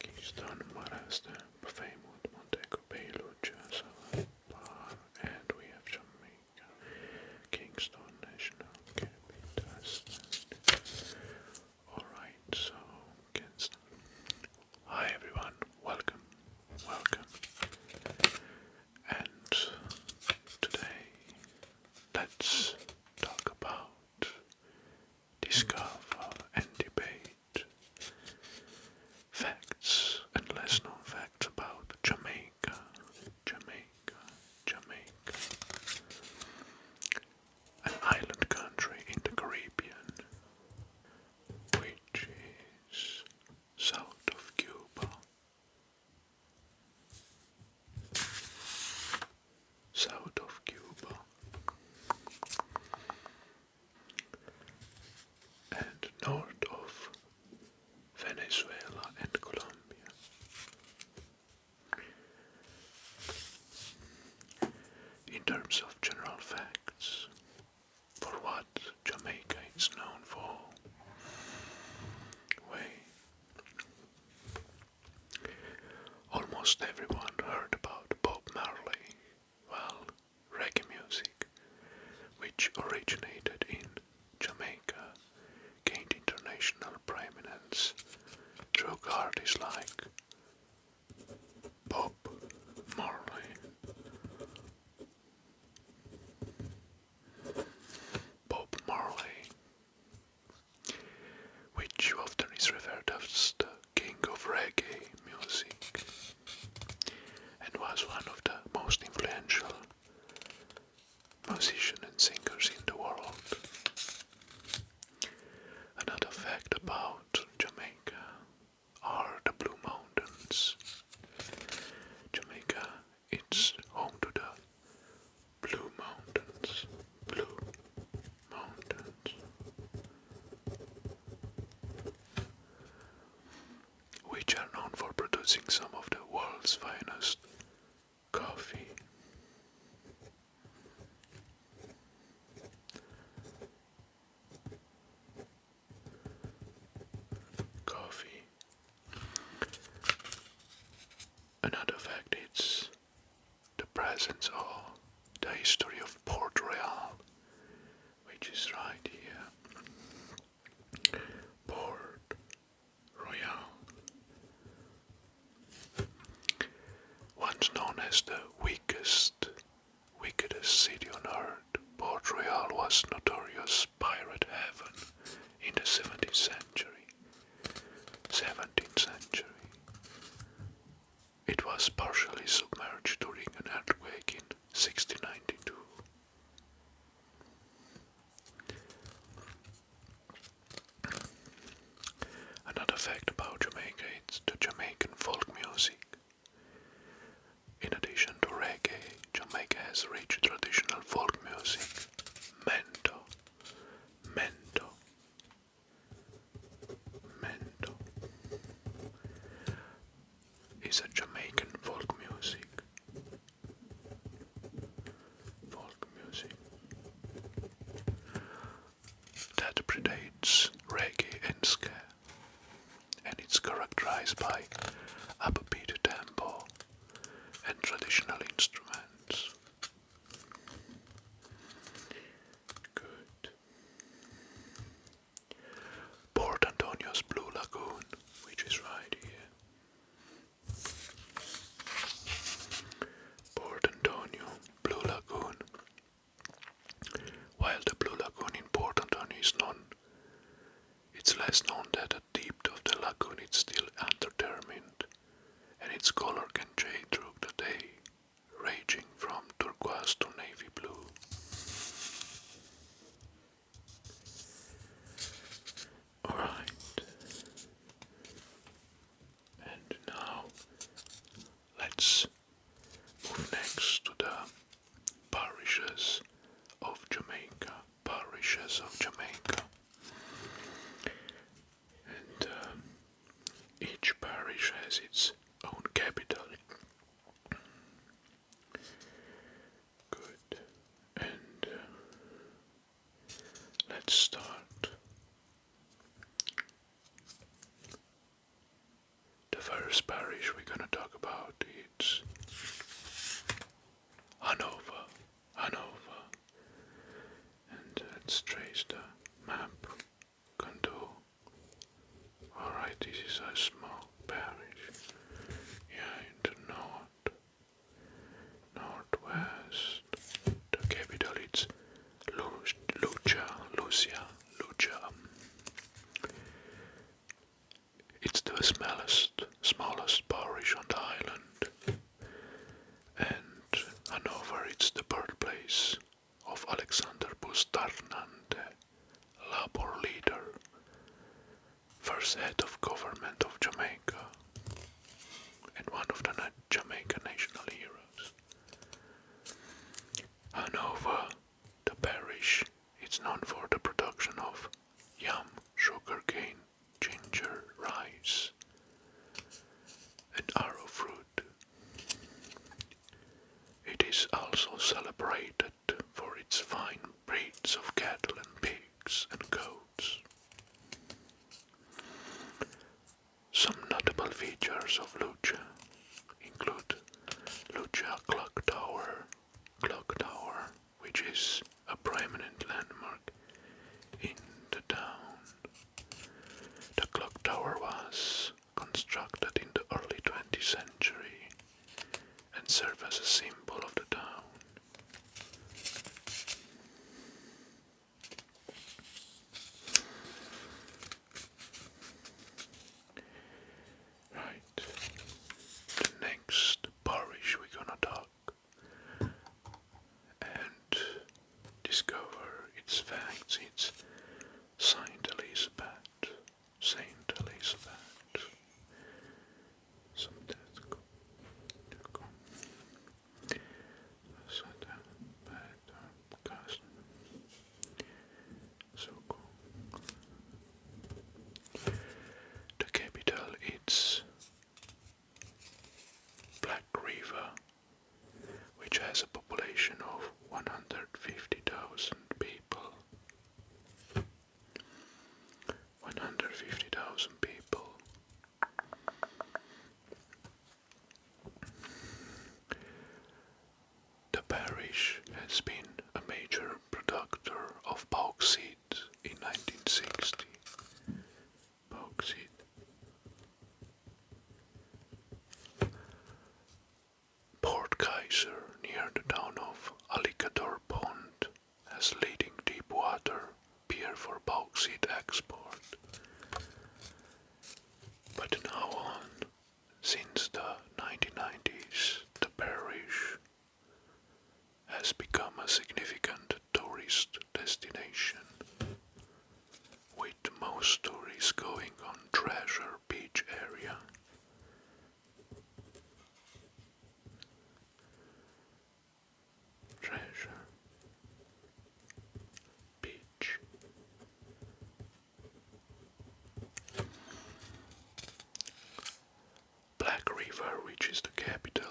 Kingston, Marasta, Plymouth, Montego Bay, Lucha, Bar, and we have Jamaica, Kingston National Capital. Alright, so Kingston. Hi everyone, welcome, welcome. And today, let's talk about discover, and debate facts and less known facts about Jamaica, Jamaica, Jamaica, an island country in the Caribbean, which is south of Cuba south of Cuba and north of Venezuela and Colombia. In terms of general facts, for what Jamaica is known for, way Almost everyone heard about Bob Marley, well, reggae music, which originated in Jamaica, gained international prominence through artists like Bob Marley. Bob Marley which often is referred as the king of reggae music and was one of the most influential musicians and singers in the world. Another fact about Jamaica are the Blue Mountains. Jamaica it's home to the Blue Mountains. Blue Mountains. Which are known for producing some of the world's finest coffee. Coffee. Another fact is the presence of the history of Port Royal, which is right here. Port Royal, once known as the weakest, wickedest city on earth, Port Royal was notorious pirate heaven in the 17th century. 17th century. It was partially submerged during an earthquake in 1692. Another fact about Jamaica is the Jamaican folk music. In addition to reggae, Jamaica has rich traditional folk music, mento, Mento, Mendo is a Jamaican folk music. Folk music that predates reggae and ska, and it's characterized by upbeat tempo and traditional instruments. Port Antonio's Blue Lagoon, which is right here. Port Antonio, Blue Lagoon. While the Blue Lagoon in Port Antonio is known, it's less known that the of the lagoon is still undetermined, and its color can change through the day, ranging from turquoise to navy blue. Alright, and now let's move next to the parishes of Jamaica parishes of Jamaica. And um, each parish has its own capital. Good. And uh, let's start. The first parish we're going to talk about is Hanover. Hanover, and let's uh, trace the map Alright, this is a small parish. Yeah, in the north, northwest. The capital it's Lu Lucia, Lucia, Lucia. It's the smallest smallest parish on the island. And Hanover its the birthplace of Alexander Bustarnande, Labor leader, first head of government of Jamaica, and one of the Jamaica national heroes. Hanover, the parish, is known for the production of yam, sugar cane ginger rice, and arrowfruit. It is also celebrated for its fine breeds of cattle and pigs and goats. Some notable features of Lucha include Lucha Clock Tower, Clock Tower, which is a prominent landmark in the town. The clock tower was constructed in the early 20th century and served as a symbol of the town. Right, the next parish we're gonna talk and discover its facts. It's Saint Elizabeth, Saint Elizabeth. The capital It's. Black River, which has a population of 150,000 people. 150,000 people. The parish has been a major producer of bauxite in 1960. Box Port Kaiser, near the town of Alligator Pond, has leading deep water pier for bauxite export. But now on, since the 1990s, the parish has become a significant tourist destination, with most tourists going on Treasure Beach area. Treasure Beach. Black River, which the capital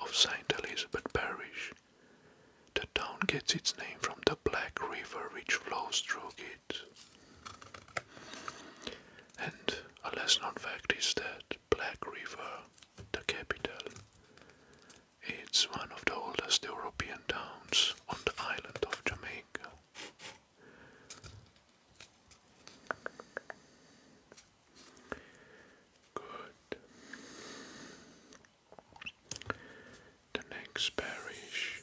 of St. Elizabeth Parish. The town gets its name from the Black River which flows through it. And a less known fact is that Black River, the capital, it's one of the oldest European towns on the island of Jamaica. Good. The next parish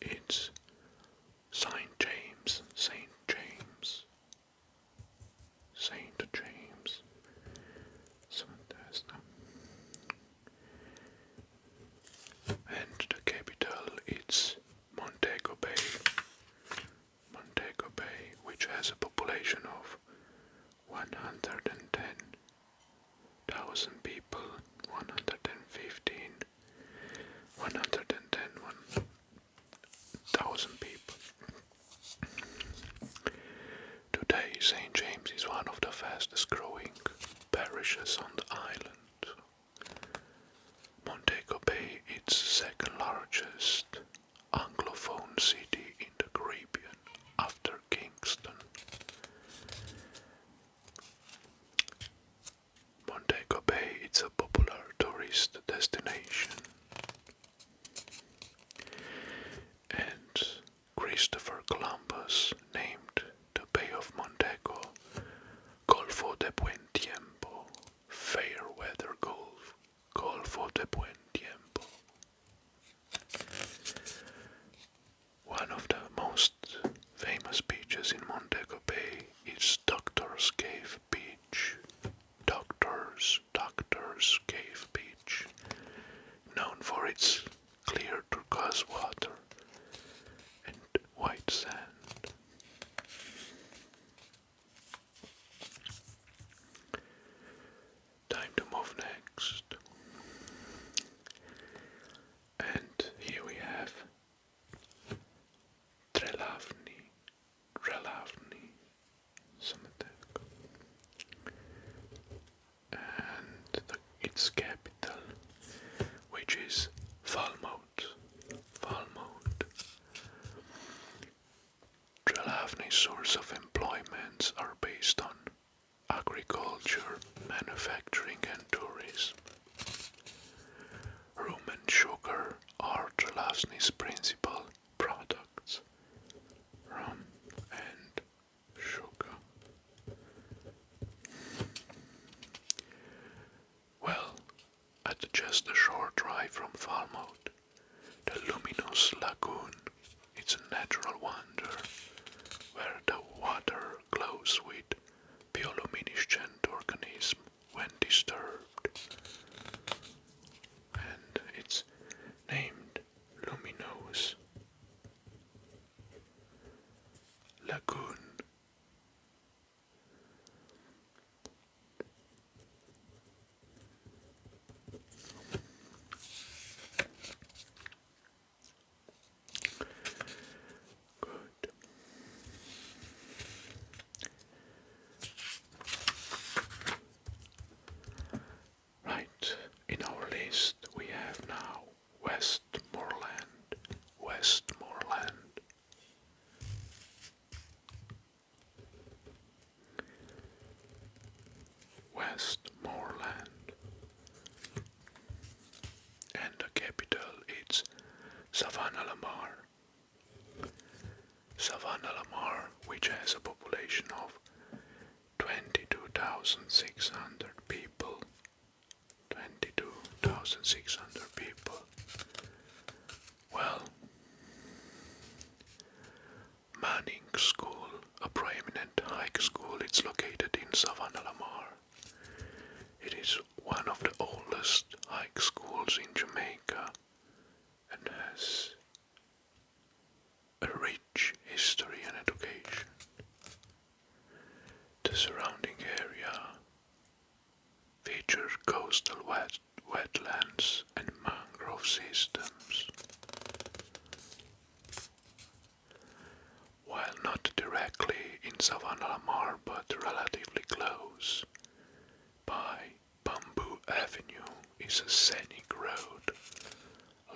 is Saint James, Saint James, Saint James. And the capital is Montego Bay. Montego Bay, which has a population of 110,000 people, 115, people. Today, St. James is one of the fastest growing parishes on the island. Montego Bay is second largest Anglophone city in the Caribbean after Kingston. Montego Bay is a popular tourist destination. And Christopher Columbus named the Bay of Montego Golfo de Buen Tiempo fair weather golf, golf for the buen tiempo. One of the most famous beaches in Montego Bay is Doctor's Cave Beach. Doctor's Doctor's Cave Beach, known for its clear turquoise water and white sand. Time to move next. And here we have Trelavni, Trelavni Cemetery. And its capital, which is Falmouth, Falmouth. Trelawney's source of employments are based on agriculture, manufacturing and tourism. Rum and sugar are Trelawney's principal products. Rum and sugar. Well, at just a short drive from Falmouth, the luminous lagoon is a natural wonder where the water glows with bioluminescent organisms when disturbed. And it's named Luminous Lagoon Right, in our list we have now Westmoreland, Westmoreland. Westmoreland. And the capital is Savannah Lamar. Savannah Lamar, which has a population of 22,600 people. 22,600 people. Well, Manning School, a prominent high school, it's located in Savannah Lamar. It is one of the oldest high schools in Jamaica and has a rich history and education. The surrounding area feature coastal wetlands and mangrove systems. While not directly in Savannah Mar but relatively close, by Bamboo Avenue is a scenic road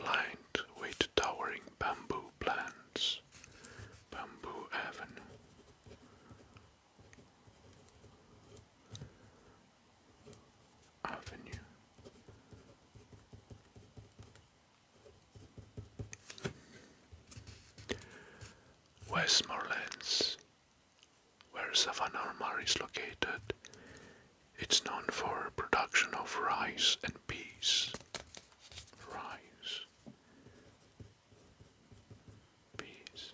lined with towering bamboo plants. Bamboo Avenue Avenue. Westmorelands, where Savannah Mar is located, it's known for production of rice and peas. Rice peace.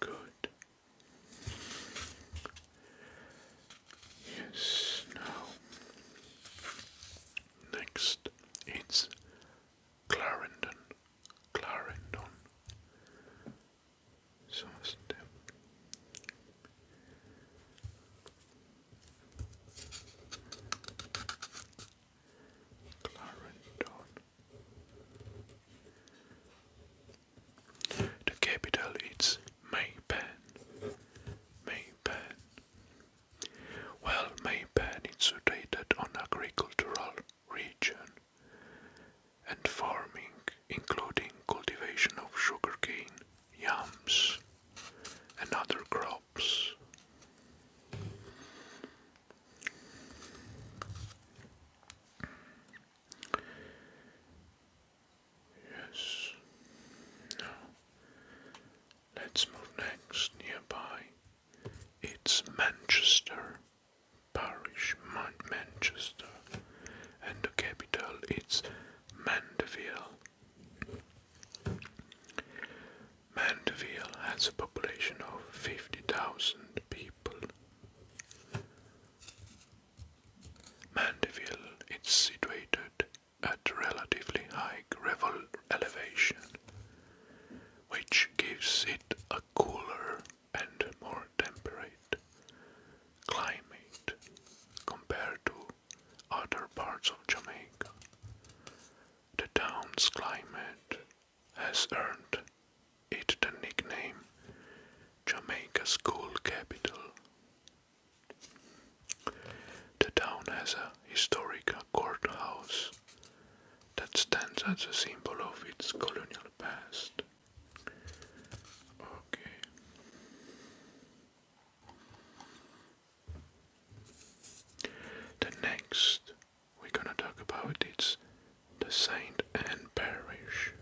Good. Yes, now. Next, it's Clarendon. Clarendon. So step. Clarendon. The capital is Maypen. Maypen. Well, Maypen is situated on agricultural region and farming, including cultivation of sugarcane, yams, and other crops. Yes. Now, let's move next nearby. It's Manchester Parish, Manchester, and the capital is Mandeville. Mandeville has a population of 50,000 people. Mandeville is situated at relatively high elevation, which gives it a cooler and more temperate climate compared to other parts of Jamaica. The town's climate has earned it the nickname Jamaica's School Capital. The town has a historic courthouse that stands as a symbol of its colonial past. The next we're gonna talk about is the Saint Anne Parish.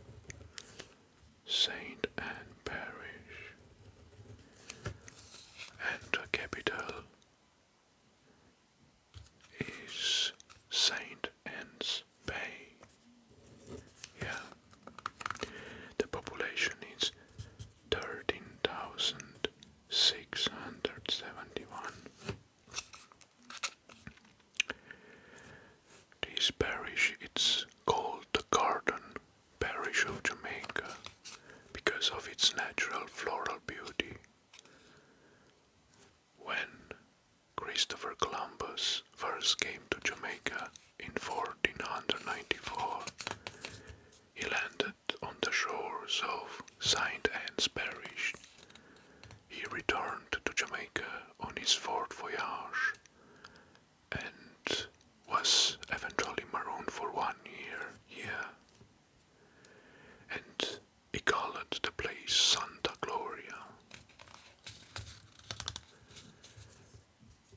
Saint Anne Parish and the capital is Saint Anne's Bay. Yeah. The population is thirteen thousand six hundred seventy one. This parish it's called the Garden Parish of Jamaica because of its natural floral beauty. When Christopher Columbus first came to Jamaica in 1494, he landed on the shores of Saint Anne's Parish. He returned to Jamaica on his fourth voyage and was eventually marooned for one year here. And he called the place Santa Gloria.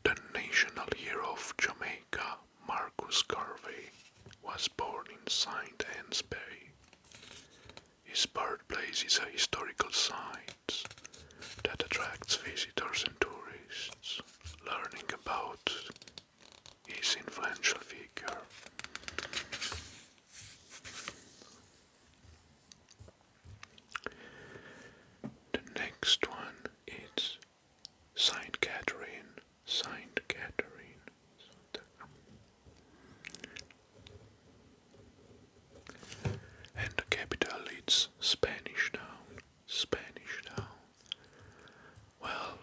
The national hero of Jamaica Marcus Garvey was born in St. Anne's Bay. His birthplace is a historical site that attracts visitors and tourists, learning about his influential figure. The next one is Saint Catherine, Saint Catherine. And the capital is Spanish Town, Spanish Town. Well,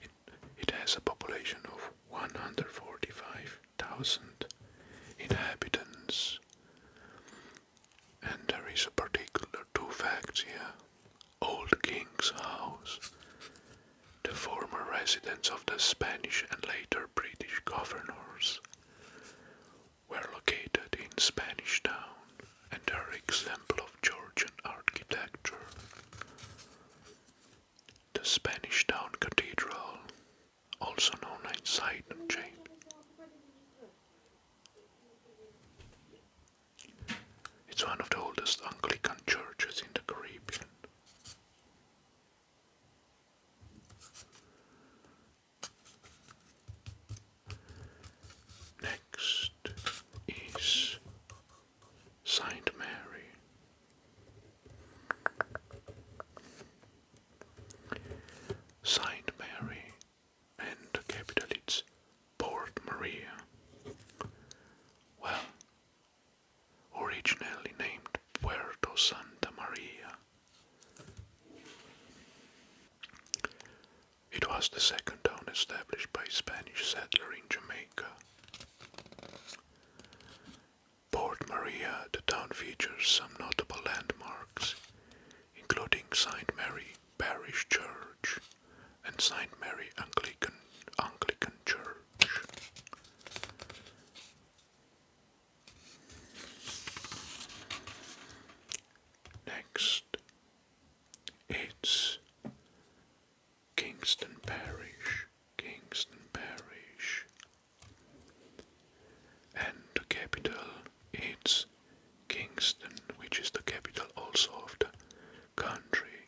it, it has a population of 145,000 inhabitants. And there is a particular two facts here. Old King's House, the former residence of the Spanish and later British governors, were located in Spanish Town and are example of Georgian architecture. The Spanish Town Cathedral, also known as Sidon Chapel, it's one of the oldest Anglican churches in the Caribbean. Next is Saint Mary. Saint Mary and the capital is Port Maria. Well, originally named Puerto Santa Maria. It was the second town established by Spanish settlers in Jamaica. Port Maria, the town features some notable landmarks, including St. Mary, Parish Church and St. Mary Anglican, Church. Next, it's Kingston Parish, Kingston Parish, and the capital is Kingston, which is the capital also of the country.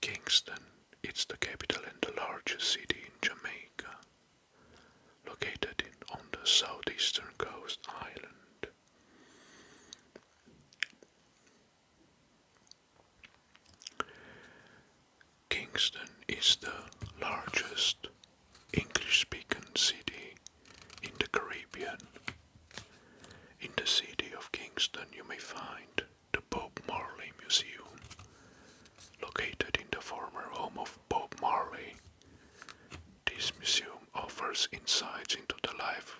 Kingston, it's the capital and the largest city in Jamaica, located in, on the southeastern coast island. Kingston is the largest English speaking city in the Caribbean. In the city of Kingston, you may find the Bob Marley Museum, located in the former home of Bob Marley. This museum offers insights into the life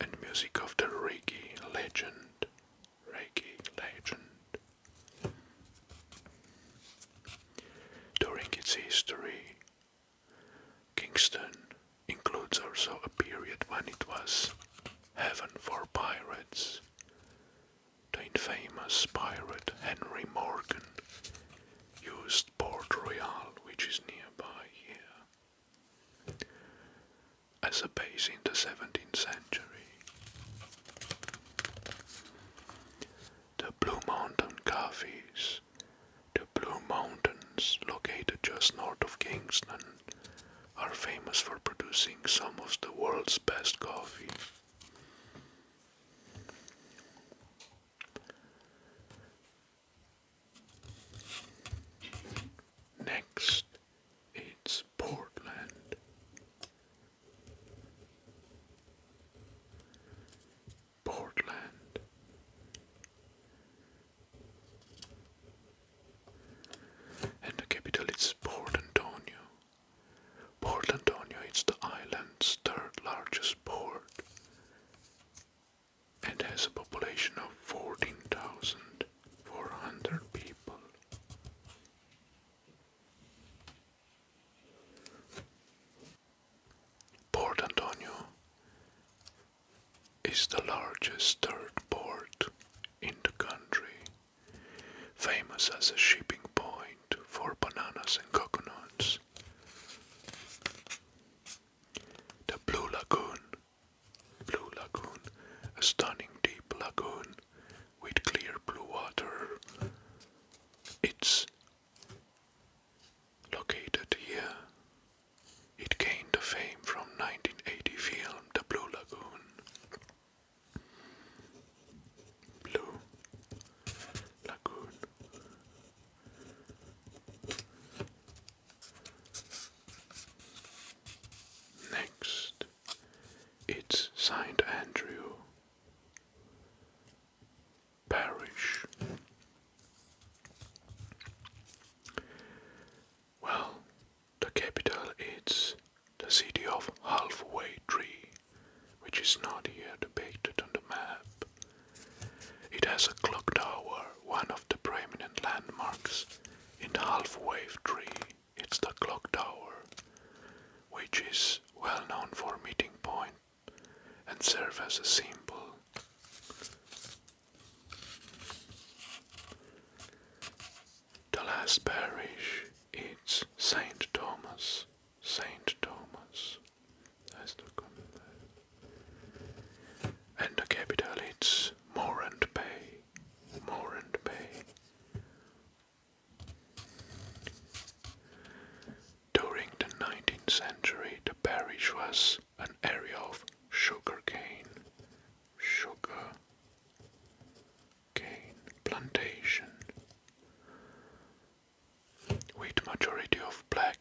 and music of the reggae legend. Reggae legend during its history, Kingston includes also a period when it was heaven for pirates. The infamous pirate Henry Morgan used Port Royal, which is nearby here, as a base in the 17th century the Blue Mountain Coffees. The Blue Mountains, located just north of Kingston, are famous for producing some of the world's best coffee. Next, it's Portland. Portland, and the capital is Port Antonio. Port Antonio is the island's third largest port and has a population of 14,400 people. Port Antonio is the largest third port in the country, famous as a shipping point for bananas and coconuts. The Blue Lagoon, Blue Lagoon, a stunning deep lagoon with clear blue water. It's located here. It gained fame from 1980 film The Blue Lagoon. Blue Lagoon. Next, it's Saint Andrew Parish. Well, the capital is the city of Halfway Tree, which is not here depicted on the map. It has a clock tower, one of the prominent landmarks in Halfway Tree. It's the clock tower which is well known for meeting point and serve as a symbol. The last parish is Saint Thomas. Saint Thomas. That's the and the capital is Morant Bay. Morant Bay. During the 19th century, the parish was an area of sugarcane, sugar cane plantation, with majority of black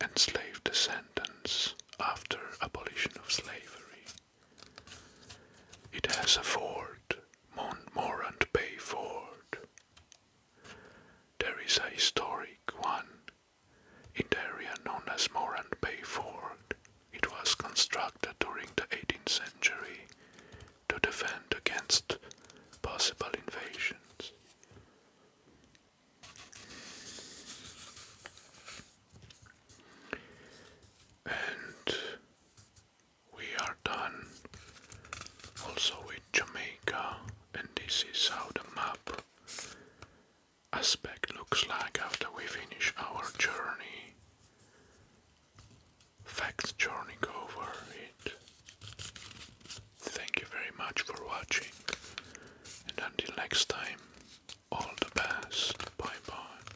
and slave descendants after abolition of slavery. It has a fort Montmorand Bay There is a historic one in the area known as Morand Bay Ford. It was constructed during the 18th century to defend against possible invasions. And we are done also with Jamaica and this is how the map aspect looks like after we finish our journey. Facts journey over it. Thank you very much for watching and until next time all the best. Bye bye.